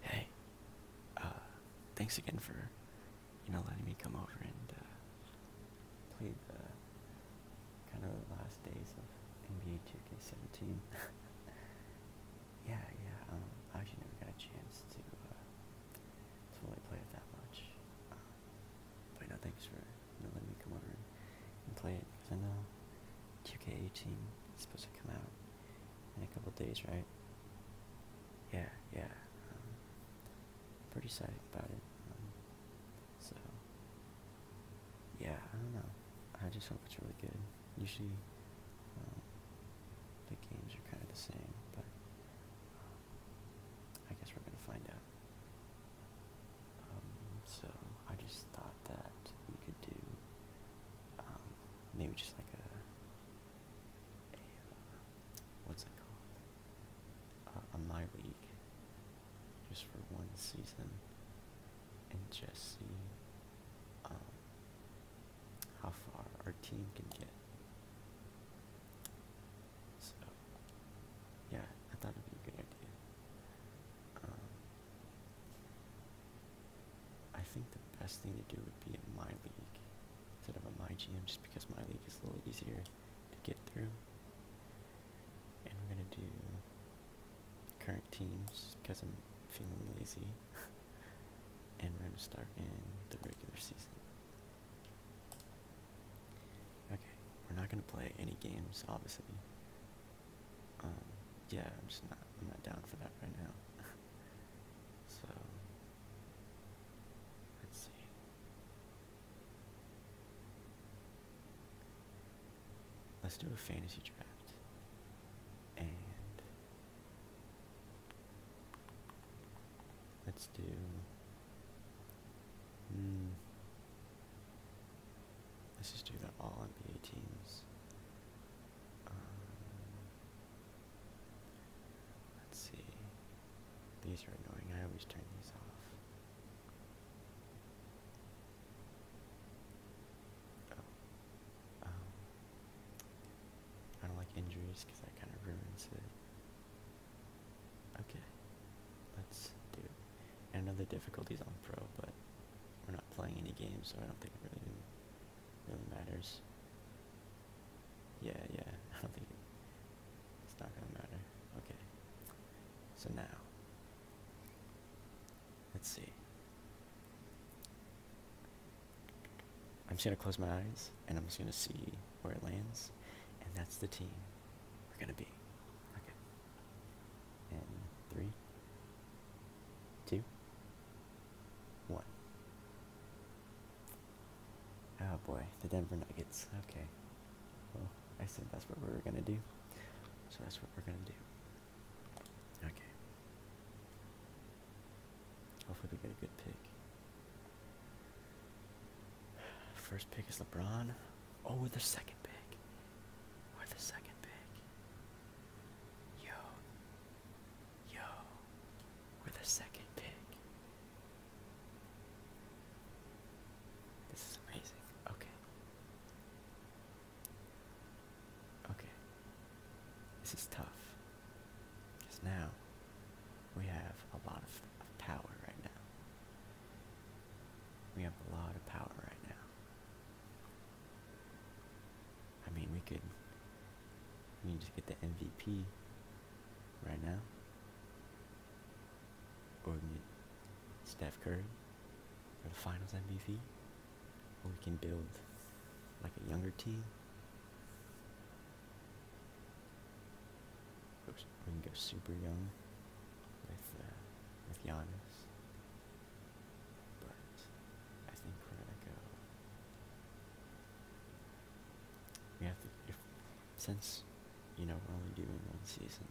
Hey, uh, thanks again for, you know, letting me come over and uh, play the kind of the last days of NBA 2K17. yeah, yeah. Um, I actually never got a chance to uh, totally play it that much. Um, but no, thanks for letting me come over and, and play it because I know 2K18 is supposed to come out in a couple days, right? Yeah, yeah. Um, pretty excited about it. Um, so, yeah, I don't know. I just hope it's really good. Usually, um, the games are kind of the same, but I guess we're gonna find out. so I just thought that we could do um, maybe just like a, uh, what's it called? Uh, a my league, just for one season, and just see um, how far our team can get. So, yeah, I thought it'd be a good idea. Um, I think the best thing to do would be in my league instead of a my GM, just because my league is a little easier to get through. And we're gonna do current teams because I'm feeling lazy, and we're gonna start in the regular season. Okay, we're not gonna play any games, obviously. Um, yeah, I'm just not. I'm not down for that right now. So let's see. Let's do a fantasy draft. And let's do hmm, let's just do that all on the eighteens let's see. These are annoying. I always turn these off. Oh, um, I don't like injuries because that kind of ruins it. Okay, let's do I know the difficulty's on pro, but we're not playing any games, so I don't think it really really matters. Yeah, yeah, I don't think it's not gonna matter. Okay, so now let's see. I'm just gonna close my eyes and I'm just gonna see where it lands, and that's the team we're gonna be. Okay, and three, two. What? Oh boy, the Denver Nuggets. Okay. Well, I said that's what we were gonna do. So that's what we're gonna do. Okay. Hopefully we get a good pick. First pick is LeBron. Oh, with the second pick. With the second pick. Yo. Yo, we're the second pick. This is amazing. Okay. Okay. This is tough. Because now we have a lot of, power right now. We have a lot of power right now. I mean, we could. We need to get the MVP right now. Or we can get Steph Curry for the Finals MVP. Or we can build like a younger team. Oops, we can go super young with uh, with Giannis. But I think we're gonna go. We have to, since you know we're only doing one season,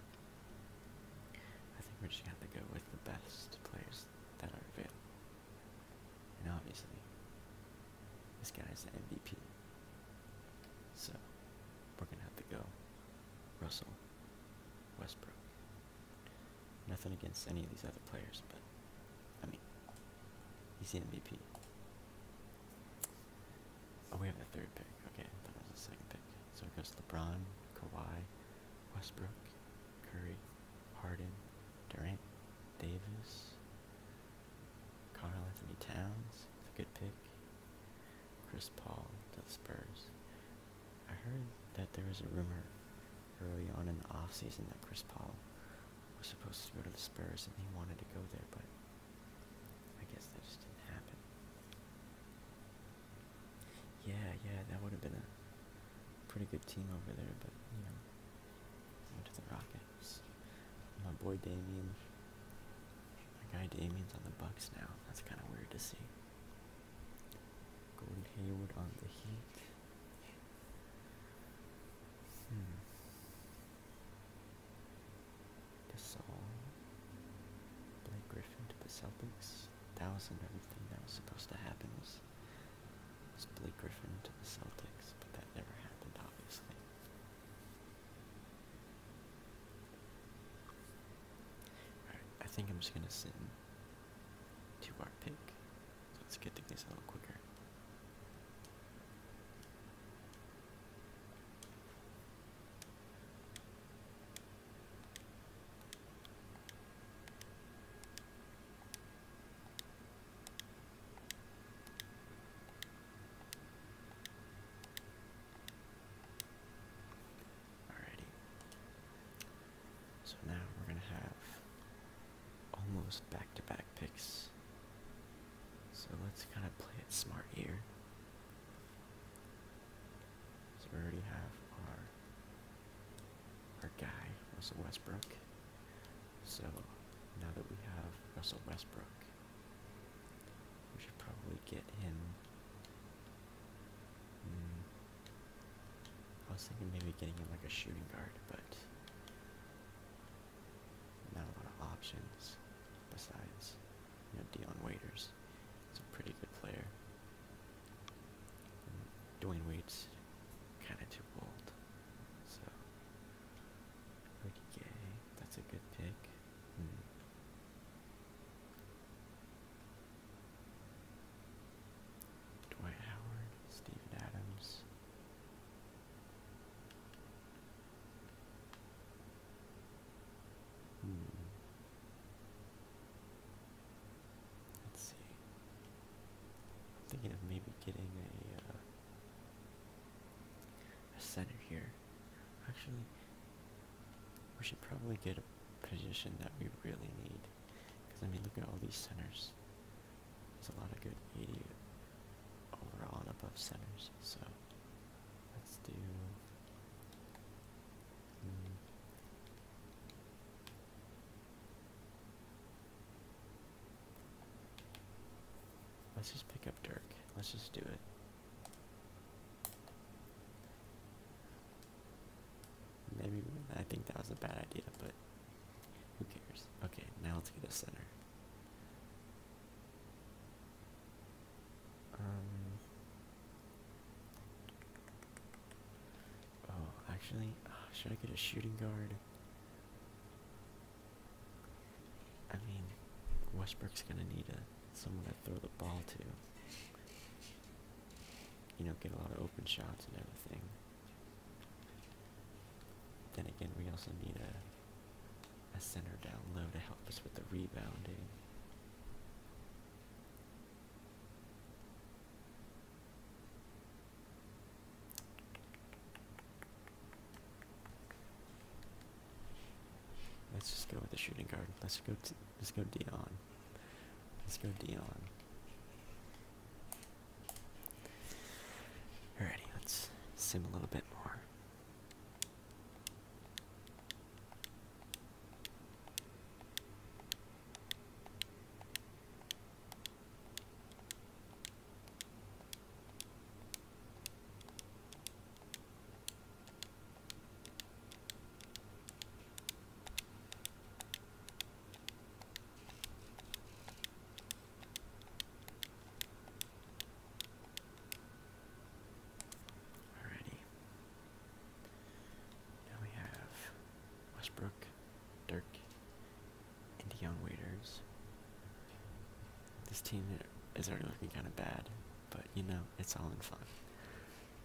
I think we're just gonna have to go with the best players that are available. And obviously, this guy is the MVP, so we're gonna have to go Russell Westbrook. Nothing against any of these other players, but I mean, he's the MVP. Oh, we have the third pick. Okay, I was the second pick. So it goes LeBron, Kawhi, Westbrook, Curry, Harden, Durant, Davis, Carl Anthony Towns. It's a good pick. Chris Paul to the Spurs. I heard that there was a rumor early on in the offseason that Chris Paul was supposed to go to the Spurs and he wanted to go there, but I guess that just didn't happen. Yeah, yeah, that would have been a pretty good team over there, but you know, went to the Rockets. My boy Damien, my guy Damien's on the Bucks now. That's kind of weird to see. Gordon Hayward on the Heat. Hmm. Blake Griffin to the Celtics. That was that was supposed to happen was, was Blake Griffin to the Celtics, but that never happened, obviously. Alright, I think I'm just gonna send to our pick. Let's get a little quicker. Alrighty. So now we're going to have almost back to back picks. So let's kind of play it smart here. So we already have our our guy, Russell Westbrook. So now that we have Russell Westbrook, we should probably get him. Hmm, I was thinking maybe getting him like a shooting guard, but not a lot of options besides, you know, Dion Waiters. He's a pretty good player. Dwayne Wade's kind of too old, so Ricky Gay. That's a good pick. Mm. Dwight Howard, Steven Adams, Let's see. thinking of maybe getting uh, a center here. Actually, we should probably get a position that we really need. Because I mean, look at all these centers. There's a lot of good 80 over and above centers, so let's do. Hmm. Let's just pick up Dirk. Let's just do it. Maybe I think that was a bad idea, but who cares? Okay, now let's get a center. Um, oh, actually, uh, should I get a shooting guard? I mean, Westbrook's gonna need a someone to throw the ball to. You know, get a lot of open shots and everything. Then again, we also need a, a center down low to help us with the rebounding. Let's just go with the shooting guard. Let's go. Let's go Dion. Let's go Dion. All righty. let's sim a little bit more. Alrighty. Now we have Westbrook, Dirk, and the Young Waiters. This team is already looking kind of bad, but you know, it's all in fun.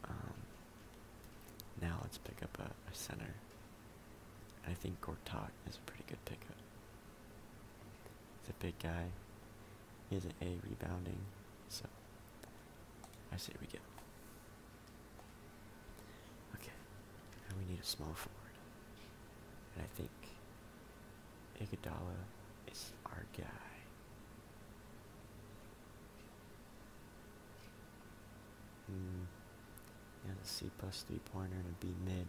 Um, now let's pick up a center. I think Gortat is a pretty good pickup. He's a big guy. He is A rebounding, so I say we get him. Okay, now we need a small forward. And I think Iguodala is our guy. Hmm. He has a C plus three pointer and a B mid.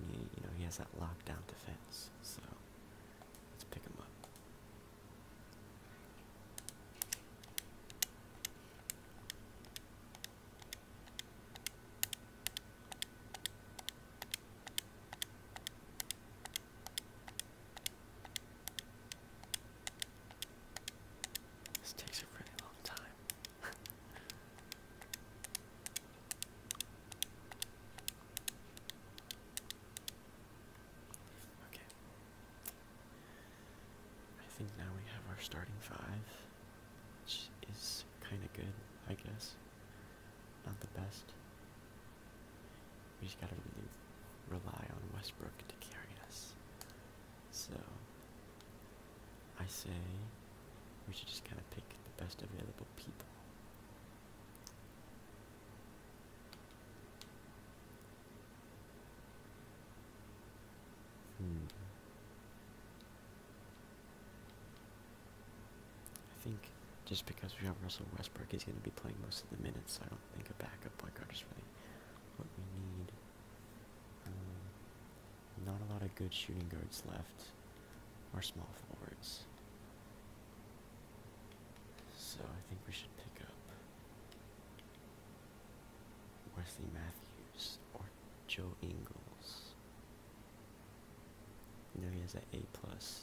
you know, he has that lockdown defense. So let's pick him up. This takes a really long time okay. I think now we have our starting five, which is kind of good, I guess. Not the best. We just gotta really rely on Westbrook to carry us. So, I say we should just kind of pick the best available people. Hmm. I think just because we have Russell Westbrook, he's going to be playing most of the minutes, so I don't think a backup point guard is really what we need. Um, not a lot of good shooting guards left, or small forwards. So I think we should pick up Wesley Matthews or Joe Ingles. You know he has a A plus,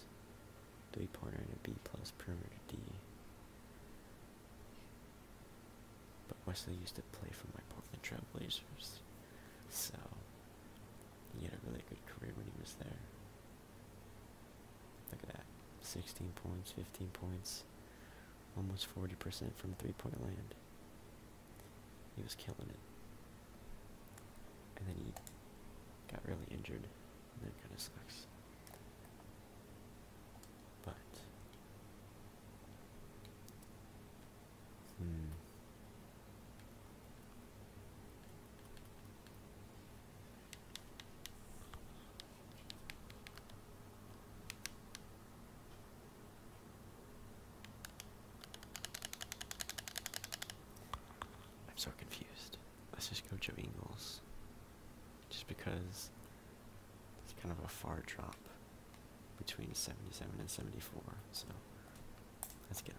three pointer, and a B plus perimeter D. Wesley used to play for my Portland Trailblazers, so he had a really good career when he was there. Look at that. 16 points, 15 points, almost 40% from three-point land. He was killing it. And then he got really injured, and that kind of sucks. But Hmm. I'm so confused. Let's just go Joe Eagles. Just because it's kind of a far drop between 77 and 74. So let's get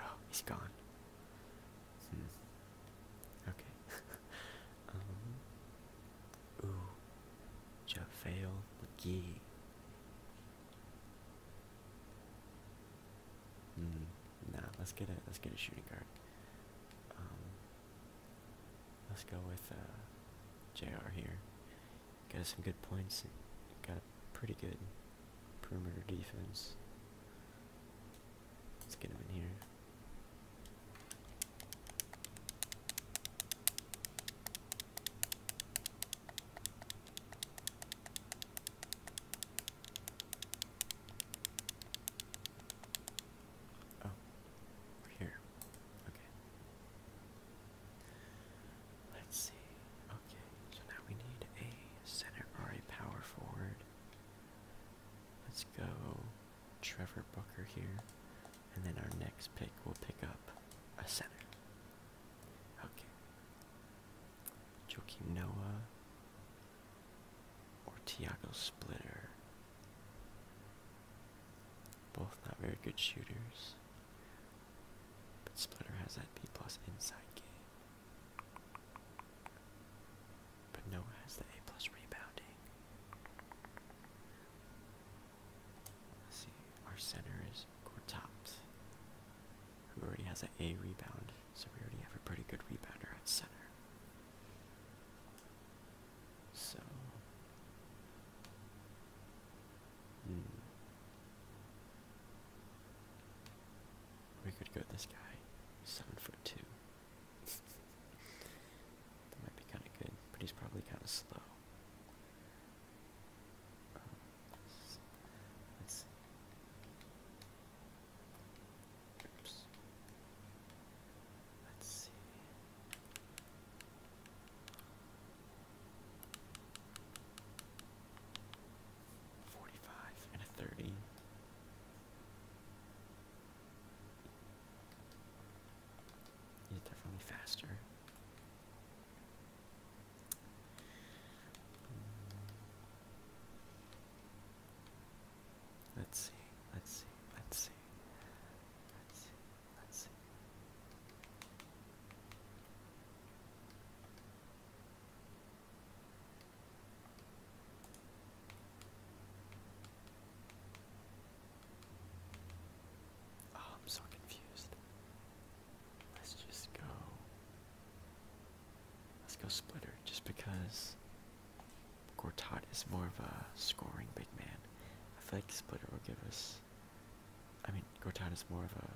Oh, he's gone. Hmm. Okay. Um, ooh, JaVale McGee. Hmm, nah, let's get a let's get a shooting guard. Um, Let's go with uh, JR here. Got some good points. Got pretty good perimeter defense. Let's get him in here. Oh, here. Okay. Let's see. Okay, so now we need a center or a power forward. Let's go Trevor Booker here. And then our next pick will pick up a center. Okay. Joakim Noah or Tiago Splitter. Both not very good shooters. But Splitter has that B plus inside game. But Noah has the A plus rebounding. Let's see, our center is Gortat, who already has an A rebound, so we already have a pretty good rebounder at center. So. Mm. We could go this guy. Seven foot two. that might be kind of good, but he's probably kind of slow. Um, let's see. Forty-five and a thirty. He's definitely faster. Let's see, let's see, let's see, let's see. Let's Oh, I'm so confused. Let's just go. Let's go splitter just because Gortat is more of a scoring big man. I feel like splitter will give us I mean, Gortat is more of a,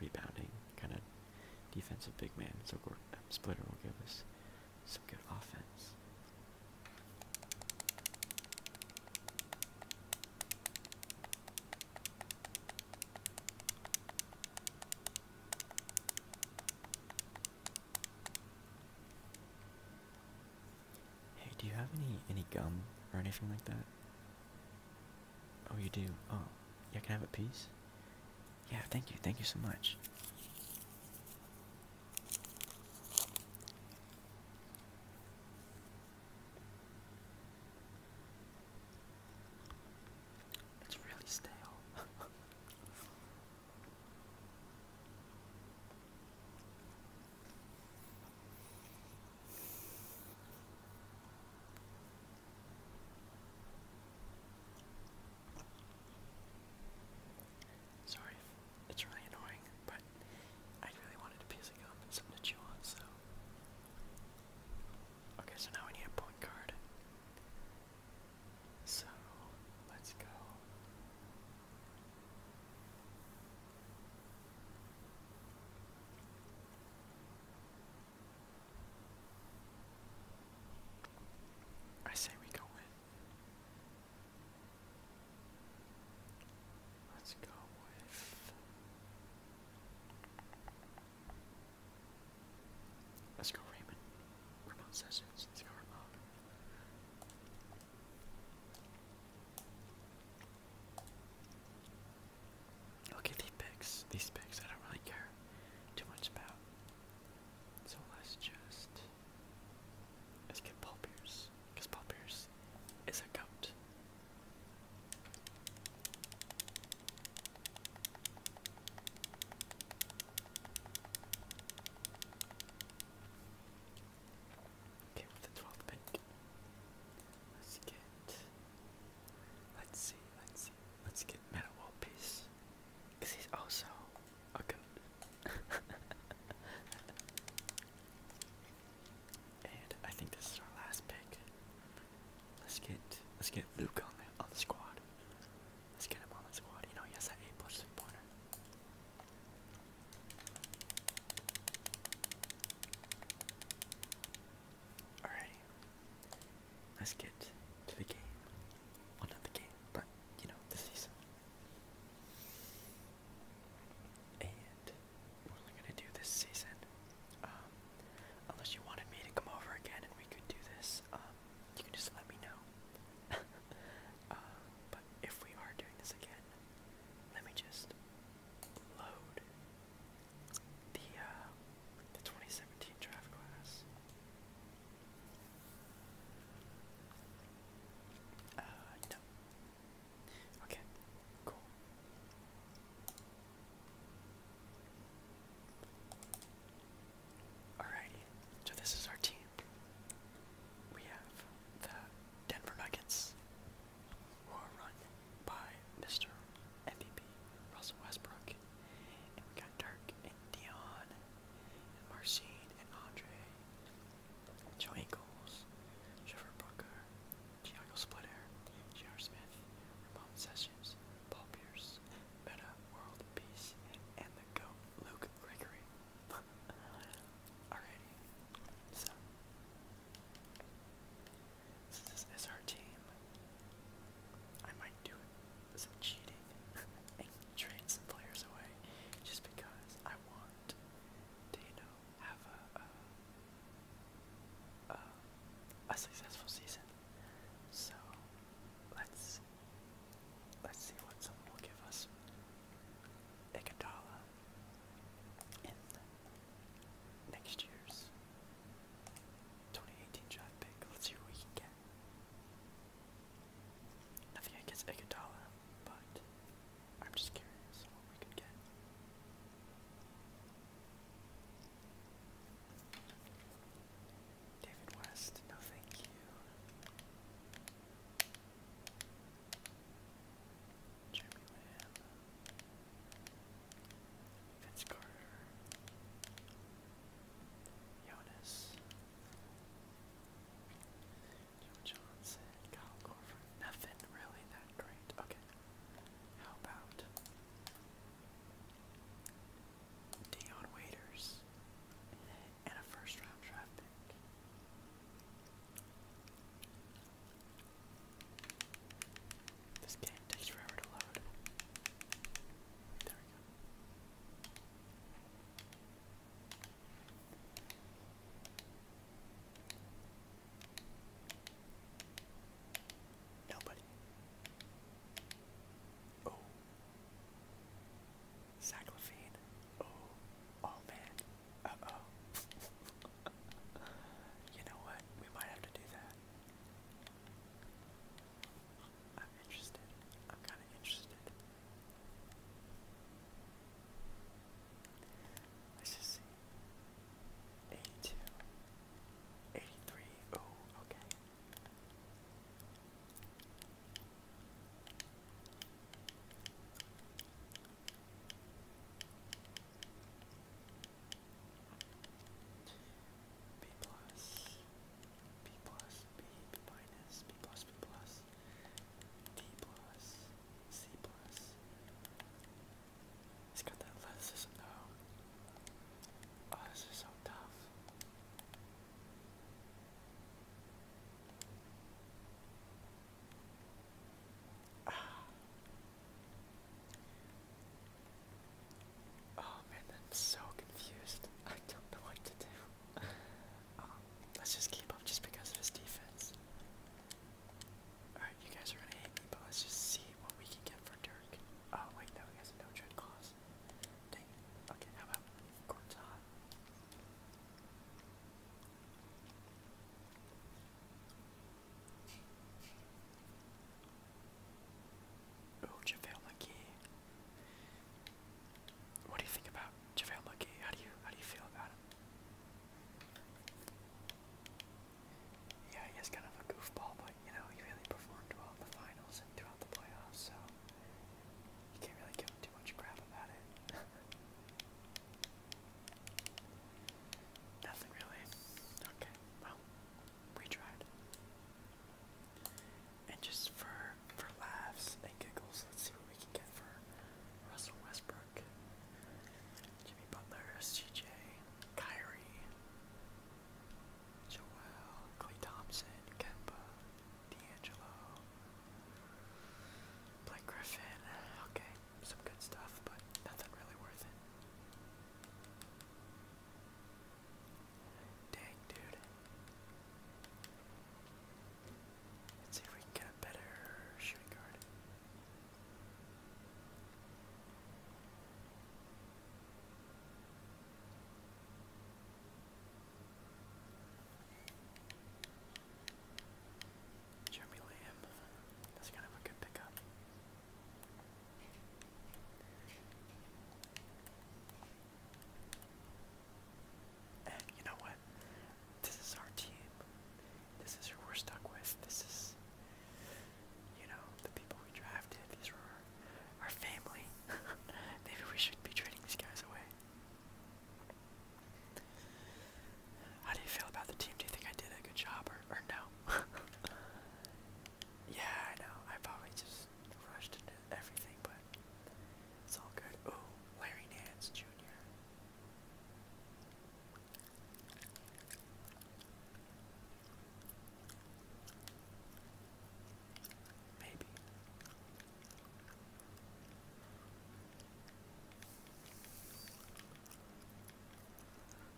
rebounding kind of defensive big man, so Gort um, Splitter will give us some good offense. Hey, do you have any any gum or anything like that? Oh, you do. Oh, yeah. Can I have a piece? Yeah. Thank you. Thank you so much. It's really stale. Sorry, it's really annoying, but I really wanted a piece of gum and something to chew on, so. Okay, so now we need a point guard. So, let's go. I say we go in. Let's go with. Let's go Raymond. Ramon says Let's go Ramon. Look at these picks. These picks I don't really care too much about. So let's just let's get Paul Pierce because Paul Pierce is a goat. Okay, with the 12th pick. Let's get. Let's see, let's see. Let's get Metal Wall Piece. Because he's also a good. and I think this is our last pick. Let's get let's get Luke on the squad. Let's get him on the squad. You know he has that A plus three Alrighty. Let's get to the game. not the game, but you know, the season. And we're only gonna do this season. Um, unless you wanted me to come over again and we could do this, um, you can just let me know. uh, but if we are doing this again, let me just load the uh, the 2017 draft class. Uh, okay, cool. Alrighty, so this is our team. We have the Denver Nuggets, or run by Mr. MVP Russell Westbrook. And we and Dion and Marcine and Andre, Joe Ingles, Trevor Booker, Thiago Splitter, J.R. Smith, Ramon Sessions, Paul Pierce, Meta World Peace, and the GOAT Luke Gregory. Alrighty. So this is our team. I might do some cheating and trade some players away just because I want to, have a a, successful season. So let's let's see what someone will give us. Iguodala in next year's 2018 draft pick. Let's see what we can get. Nothing against Iguodala, but I'm just curious what we could get. David West, no thank you. Jeremy Lamb, Vince Carter, Jonas, Joe Johnson, Kyle Corford. Nothing really that great. Okay, how about Dion Waiters and a first round draft pick? This game takes forever to load. There we go. Nobody. Oh. Zach Oh. Oh man. Uh oh. you know what? We might have to do that. I'm interested. I'm kind of interested. Let's just see. 82. 83. Oh, okay. B plus, B plus, B, B minus, B plus, B plus, D plus, C plus. It's got that athleticism though. Oh, this is so tough. Ah. Oh man, I'm so confused. I don't know what to do. Um, let's just keep up just because of defense. Alright, you guys are gonna hate me, but let's just see what we can get for Dirk. Oh wait, no, he has a Dang. Okay, how about Cortana? Ooh, JaVale McGee. What do you think about JaVale McGee? How do you how do you feel about him? Yeah, he is kind of a goofball, but you know, he really performed well in the finals and throughout the playoffs, so you can't really give him too much crap about it. Nothing really. Okay, well, we tried. And just for for laughs and giggles, let's see what we can get for Russell Westbrook, Jimmy Butler, CJ, Kyrie, Joel, Clay Thompson, Kemba, D'Angelo, Blake Griffin. Okay, some good stuff, but nothing really worth it. Dang, dude. Let's see if we can get a better shooting guard. Jeremy Lamb. That's kind of a good pickup you know what? This is our team. This is who we're stuck with. This is, you know, the people we drafted. These were our, family. Maybe we should not be trading these guys away. How do you feel about the team? Do you think I did a good job or, or no? yeah, I know. I probably just rushed into everything, but it's all good. Ooh, Larry Nance Jr. Maybe.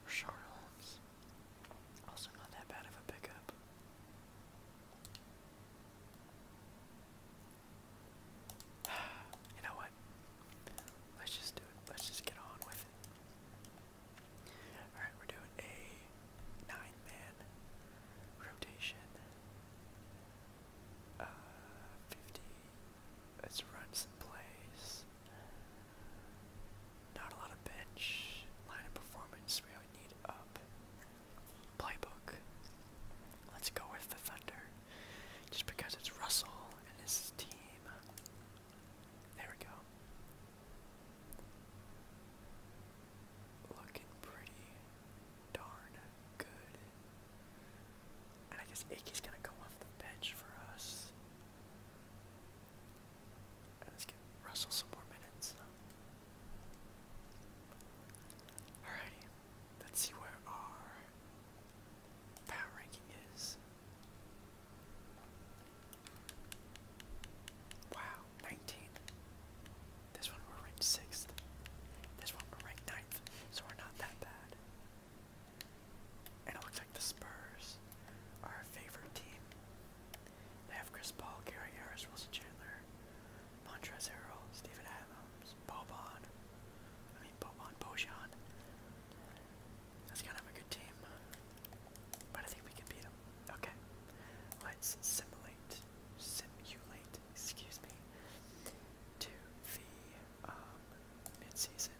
Rashard Holmes. Also not that bad of a pickup. you know what? Let's just do it. Let's just get on with it. Alright, we're doing a nine man rotation. Uh, 50. Let's run some plays. Not a lot of bench. Line of performance we need up. Playbook. Let's go with the Thunder. Just because it's Russell and his team. There we go. Looking pretty darn good. And I guess Icky's gonna go off the bench for us. Let's get Russell some more minutes. Alrighty, let's see where our power ranking is. Wow, 19. This one we're ranked 6th. This one we're ranked ninth, so we're not that bad. And it looks like the Spurs are our favorite team. They have Chris Paul, Gary Harris, Wilson Chandler, Montrezl Harrell, Stephen Adams, Boban. I mean Boban, Bojan. That's kind of a good team. But I think we can beat them. Okay. Let's simulate, simulate, excuse me, to the um, mid-season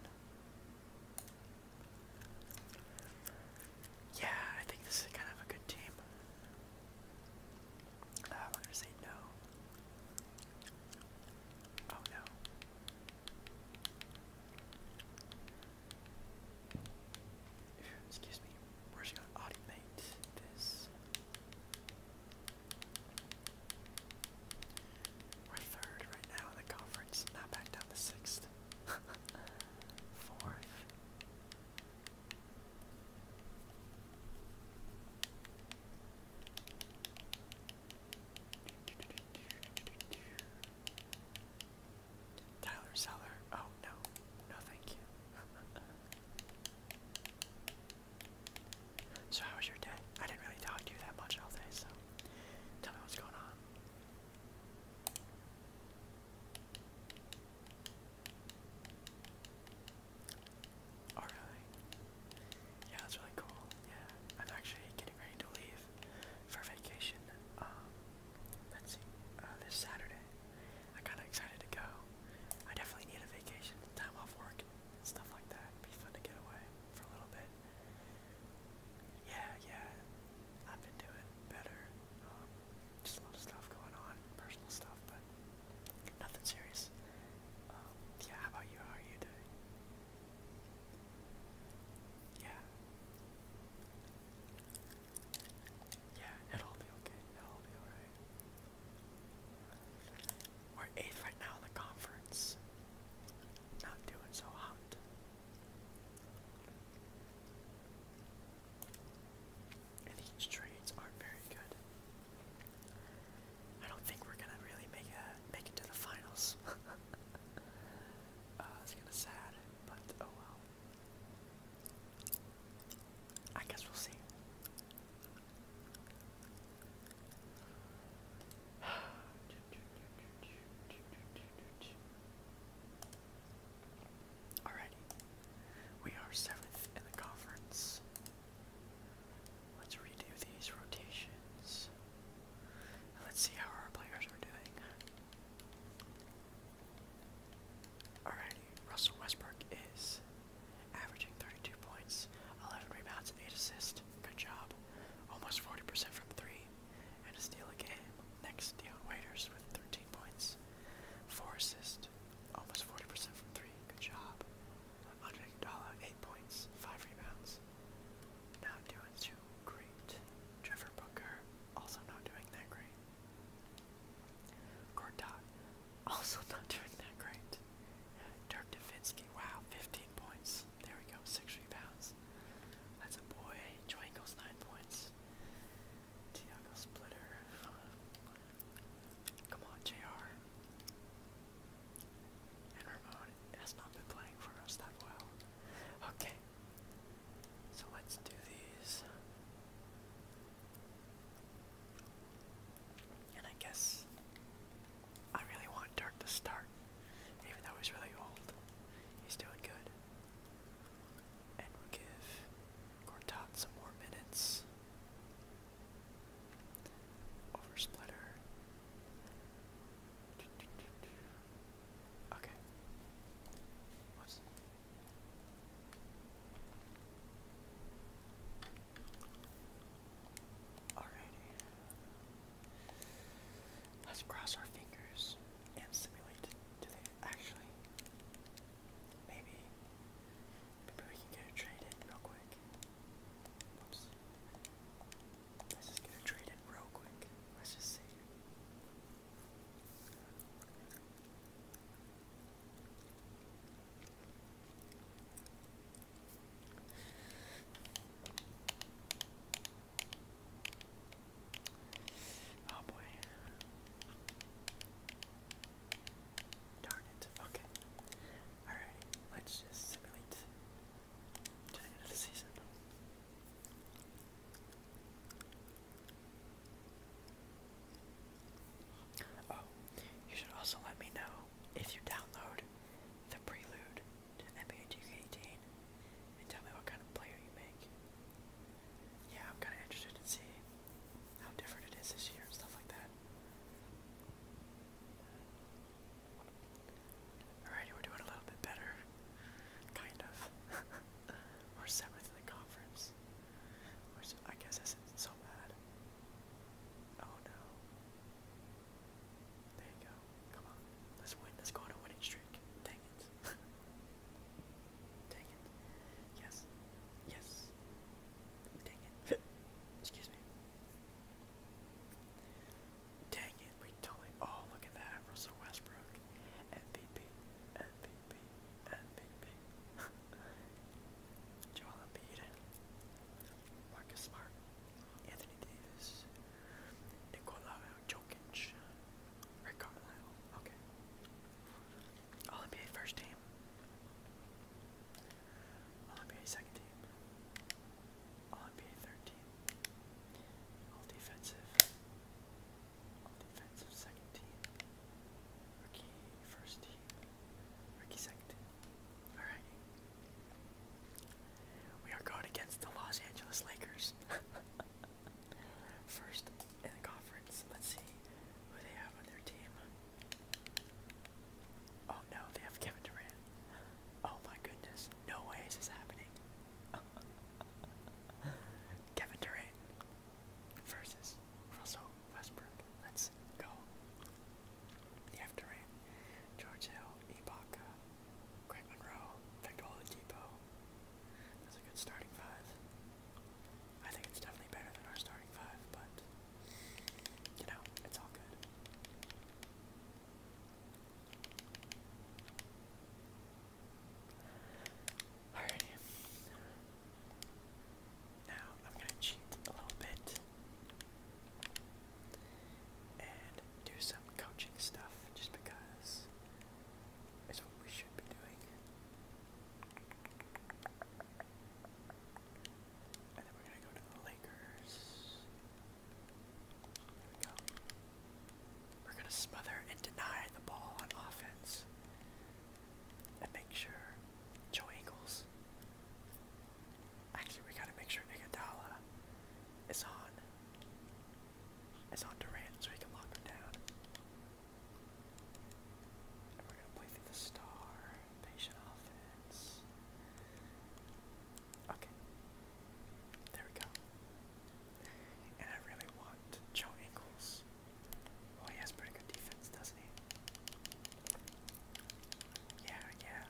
yeah, I think this is kind of a good team. Uh, we to say no. Oh no. Excuse me. We're gonna automate this. We're third right now in the conference, not back down to sixth. Fourth. Tyler Seller. Oh no. No thank you. so how was your day? I didn't really talk to you that much all day, so tell me what's going on. Alright. Yeah, that's really cool. Yeah. I'm actually getting ready to leave for vacation. Um let's see. Uh, this Saturday. I'm kinda excited to go. I definitely need a vacation, time off work and stuff like that. be fun to get away for a little bit yeah, yeah, I've been doing better. Um, just a lot of stuff going on, personal stuff, but nothing serious. Um, yeah, how about you? How are you doing? Yeah. Yeah, it'll be okay. It'll be alright. We're eighth right now in the conference. Not doing so hot. And these trades aren't very good. I don't think we're gonna really make a make it to the finals. Uh, it's kinda sad, but oh well. I guess we'll see. Alrighty. We are seventh in the conference. Let's redo these rotations. let's see how our players are doing. Alrighty, Russell Westbrook is averaging 32 points, 11 rebounds, 8 assists. Good job. Almost 40% from 3 and a steal again. game. Next, Dion Waiters with 13 points, 4 assists, almost 40% from 3. Good job. Andre Iguodala, 8 points, 5 rebounds. Not doing too great. Trevor Booker, also not doing that great. Gortat, also not doing that great. Dirk Davinsky, wow, 15 points. There we go, six rebounds. That's a boy. Joinko's nine points. Tiago Splitter. Come on, JR. And Ramon has not been playing for us that well. Okay. So let's do these. And I guess I really want Dirk to start, even though he's really old. He's doing good. And we'll some more minutes. Over Okay. Alrighty. Let's cross our fingers and simulate it. Do they actually? Maybe. Maybe we can get it traded real quick. Oops. Let's just get it traded real quick. Let's just see. Oh boy. Darn it. Okay. Alright, let's just simulate Oh, you should also let me know if you download the prelude to NBA 18 and tell me what kind of player you make. Yeah, I'm kind of interested to see how different it is this year and stuff like that. Alrighty, we're doing a little bit better. Kind of. we're seventh in the conference. I guess isn't so bad. Oh no. There you go. Come on. Let's win. Let's go on a winning streak. Dang it. Dang it. Yes. Yes. Dang it. Excuse me. Dang it, we totally. Oh, look at that. Russell Westbrook. MVP. MVP. MVP. Joel Embiid. Marcus Smart. Anthony Davis. Nikola Jokic. Jokic. Rick Carlisle. Okay. All NBA first team. All NBA second team. All NBA third team. All defensive. All defensive second team. Rookie first team. Rookie second team. Alright. We are going against the Los Angeles Lakers. First in the conference, let's see who they have on their team. Oh no, they have Kevin Durant. Oh my goodness, no way is this happening. Kevin Durant versus Russell Westbrook. Let's go. They have Durant, George Hill, Ibaka, Greg Monroe, Victor Oladipo, that's a good starting five. I think it's definitely better than our starting five, but you know, it's all good. Alrighty. Now I'm gonna cheat a little bit and do some coaching stuff just because is what we should be doing. And then we're gonna go to the Lakers. There we go. We're gonna smother and deny the ball on offense. And make sure Joe Ingles. Actually we gotta make sure Nigadala is on. It's on Durant, so he can lock her down. And we're gonna play through the star. Patient offense. Okay. There we go. And I really want Joe Ingles. Well, he has pretty good defense, doesn't he? Yeah, yeah.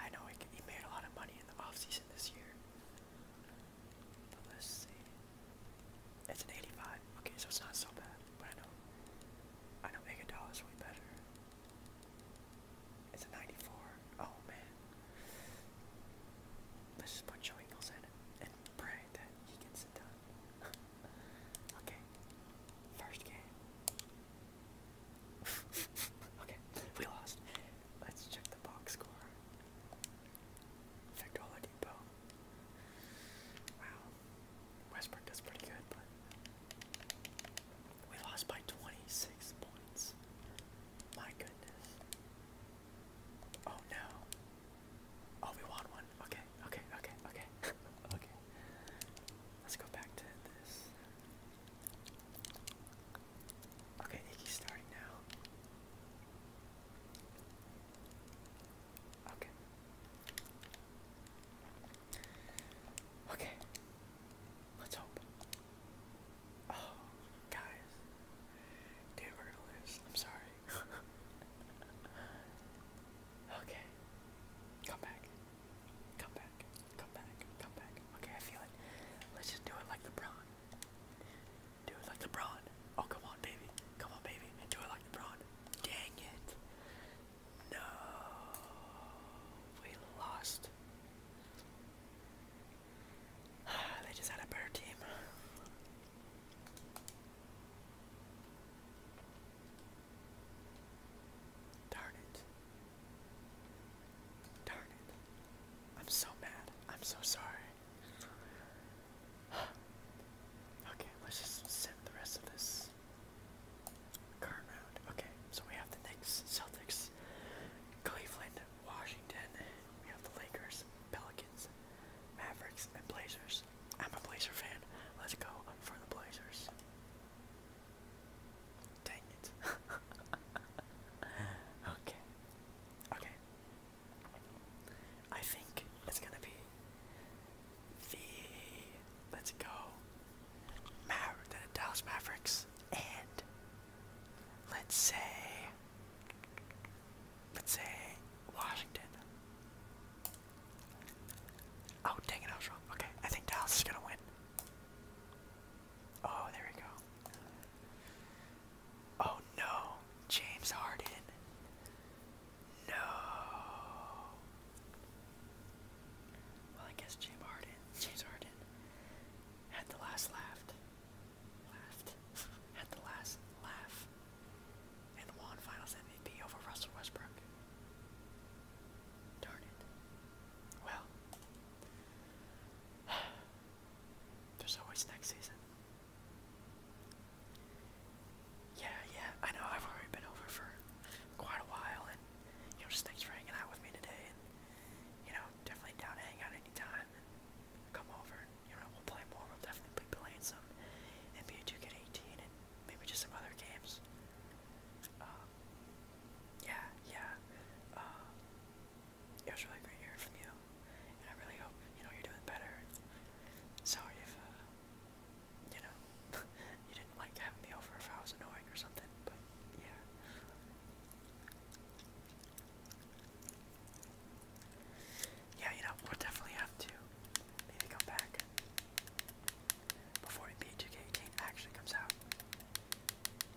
I know he, he made a lot of money in the offseason this year. let's see. It's an 85. Okay, so it's not so bad. But I know, I know Iguodala is way better. It's a 94. Oh man. Let's just put Joe Ingles in it and pray that he gets it done. okay. First game. okay, we lost. Let's check the box score. Victor Oladipo. Wow. Westbrook does pretty good, but we lost by 26 points. My goodness. Oh no. Oh, we won one. Okay, okay, okay, okay, okay. Let's go back to this. Okay, Iggy's starting now. Okay. Okay. Let's hope. Oh, guys. Dude, we're gonna lose. I'm sorry. okay. Come back. Come back. Come back. Come back. Okay, I feel it. Let's just do it like LeBron. Do it like LeBron. Oh, come on, baby. Come on, baby. Do it like LeBron. Dang it. No. We lost. they just had a better team. Darn it. Darn it. I'm so mad. I'm so sorry okay, let's just send the rest of this card round. Okay, so we have the Knicks, Celtics, Cleveland, Washington. We have the Lakers, Pelicans, Mavericks, and Blazers. I'm a Blazer fan. Let's go for the Blazers. Dang it. okay. Okay. I think it's gonna be the let's go Dallas Mavericks and let's say let's say Washington. Oh dang it, I was wrong. Okay, I think Dallas is gonna win. Oh, there we go. Oh no, James Harden. No. Well, I guess James Harden. James Harden had the last laugh. Laughed. Had the last laugh. And won Finals MVP over Russell Westbrook. Darn it. Well. There's always next season. Yeah, yeah, I know I've already been over for quite a while, and, you know, just thanks for hanging out with me today, and, you know, definitely down to hang out anytime, and come over, and, you know, we'll play more, we'll definitely be playing some NBA 2K18, and maybe just some other games. Um, yeah, yeah, uh, it was really great hearing from you, and I really hope, you know, you're doing better. Sorry if, uh, you know, you didn't like having me over if I was annoying or something, but yeah. Yeah, you know, we'll definitely have to maybe come back before MB2K18 actually comes out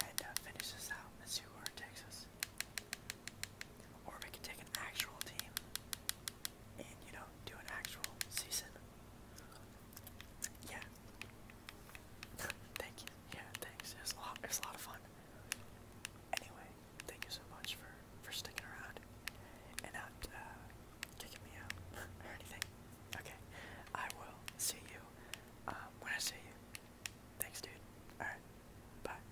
and uh, finishes out and see where it takes us. Or we could take an actual team and, you know, do an actual season. Yeah. thank you. Yeah, thanks. It was a lot it a lot of fun. Anyway, thank you so much for for sticking around and not uh, kicking me out or anything. Okay. I will see you um, when I see you. Thanks dude. Alright. Bye.